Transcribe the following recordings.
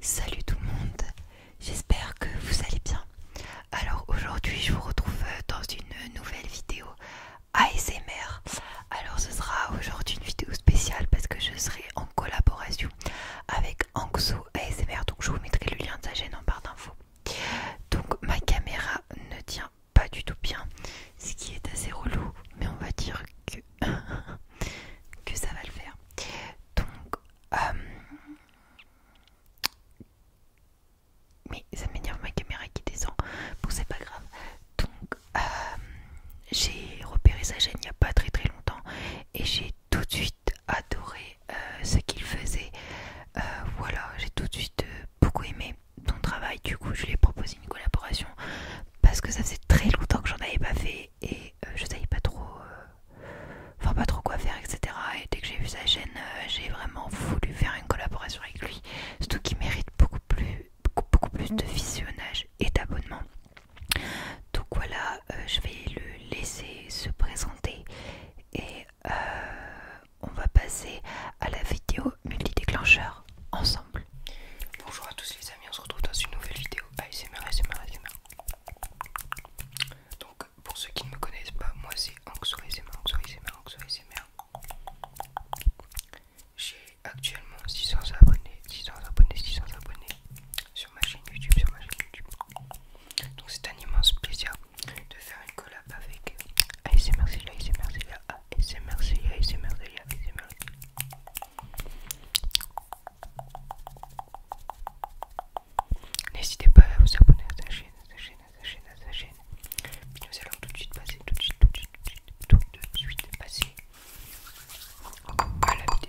Salut tout le monde, j'espère que vous allez bien. Alors aujourd'hui je vous retrouve euh, dans une nouvelle vidéo ASMR. Alors ce sera aujourd'hui une vidéo spéciale parce que je serai en collaboration avec Anxo ASMR. Donc je vous mettrai le lien de sa chaîne en barre d'infos. Donc ma caméra ne tient pas du tout bien, ce qui est assez relou, mais on va dire que, que ça va le faire. Donc, euh, mais ça m'énerve ma caméra qui descend. Bon, c'est pas grave. Donc, euh, j'ai repéré sa chaîne il n'y a pas très très longtemps et j'ai tout de suite adoré euh, ce qu'il faisait. voilà, j'ai tout de suite beaucoup aimé ton travail. Du coup, je lui ai proposé une collaboration parce que ça faisait très longtemps que j'en avais pas fait et euh, je savais pas trop euh, enfin pas trop quoi faire etc et dès que j'ai vu sa chaîne euh, j'ai vraiment voulu faire une collaboration avec lui surtout qu'il mérite beaucoup plus beaucoup, plus de visionnage et d'abonnement donc voilà je vais le laisser se présenter et on va passer à la vidéo multi déclencheur ensemble bonjour à tous les amis les on se retrouve dans une nouvelle vidéo ASMR, ASMR, ASMR. Donc, pour ceux qui ne me connaissent pas, moi c'est Anxo ASMR, Anxo ASMR, ASMR. J'ai actuellement 600 abonnés, 600 abonnés, 600 abonnés sur ma chaîne YouTube, sur ma chaîne YouTube. Donc c'est un immense plaisir de faire une collab avec ASMR, c'est ASMR, ASMR, ASMR, ASMR. N'hésitez pas à vous abonner à sa chaîne, à sa chaîne, à sa chaîne, à sa chaîne. Puis nous allons tout de suite passer, tout de suite, tout de suite, tout de suite, tout de suite passer à la vidéo.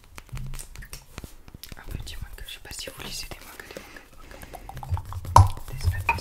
Un petit je sais pas si vous lisez des mangas, des des des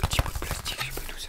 Petit bout de plastique, je peux nous ça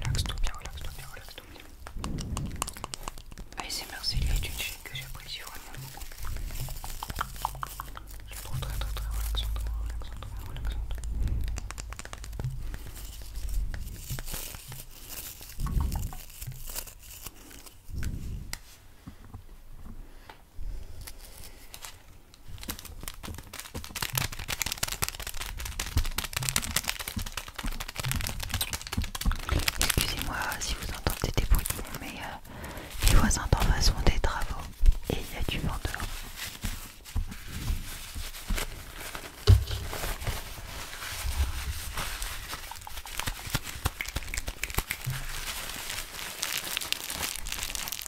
relaxe tout bien, relaxe tout bien, relaxe tout bien. ASMR c'est est du chaîne que j'apprécie vraiment beaucoup. Je la trouve très très très relaxante, très relaxante. Excusez-moi si vous entendez des bruits mais euh, les voisins d'en face font des travaux et il y a du vent dehors.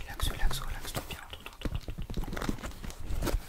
Relax, relax, relax, tout bien,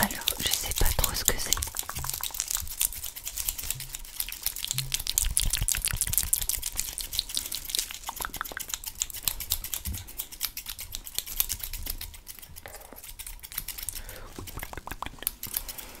Alors, je sais pas trop ce que c'est.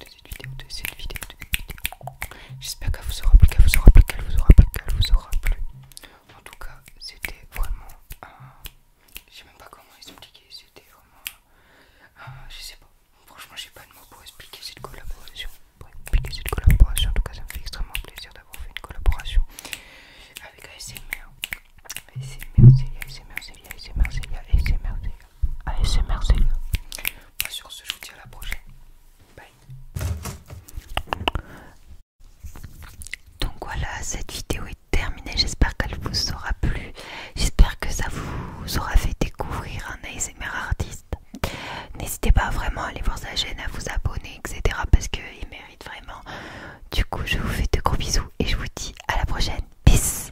de cette vidéo, de cette vidéo, de cette vidéo. J'espère qu'elle vous aura plu, qu'elle vous aura plu, qu'elle vous aura plu, qu'elle vous aura plu. En tout cas, c'était vraiment un. Je sais même pas comment expliquer, c'était vraiment Je sais pas. Franchement, j'ai pas de mots pour expliquer cette collaboration. Pour expliquer cette collaboration, en tout cas, ça me fait extrêmement plaisir d'avoir fait une collaboration avec ASMR. ASMR, c'est ASMR, c'est ASMR, c'est ASMR, ASMR c'est bah, sur ce, je vous dis à la prochaine. Bye. Donc voilà, cette vidéo est terminée. J'espère qu'elle vous aura plu. J'espère que ça vous aura fait découvrir un ASMR artiste. N'hésitez pas vraiment à aller voir sa chaîne, à vous abonner, etc. Parce qu'il mérite vraiment. Du coup, je vous fais de gros bisous et je vous dis à la prochaine. Peace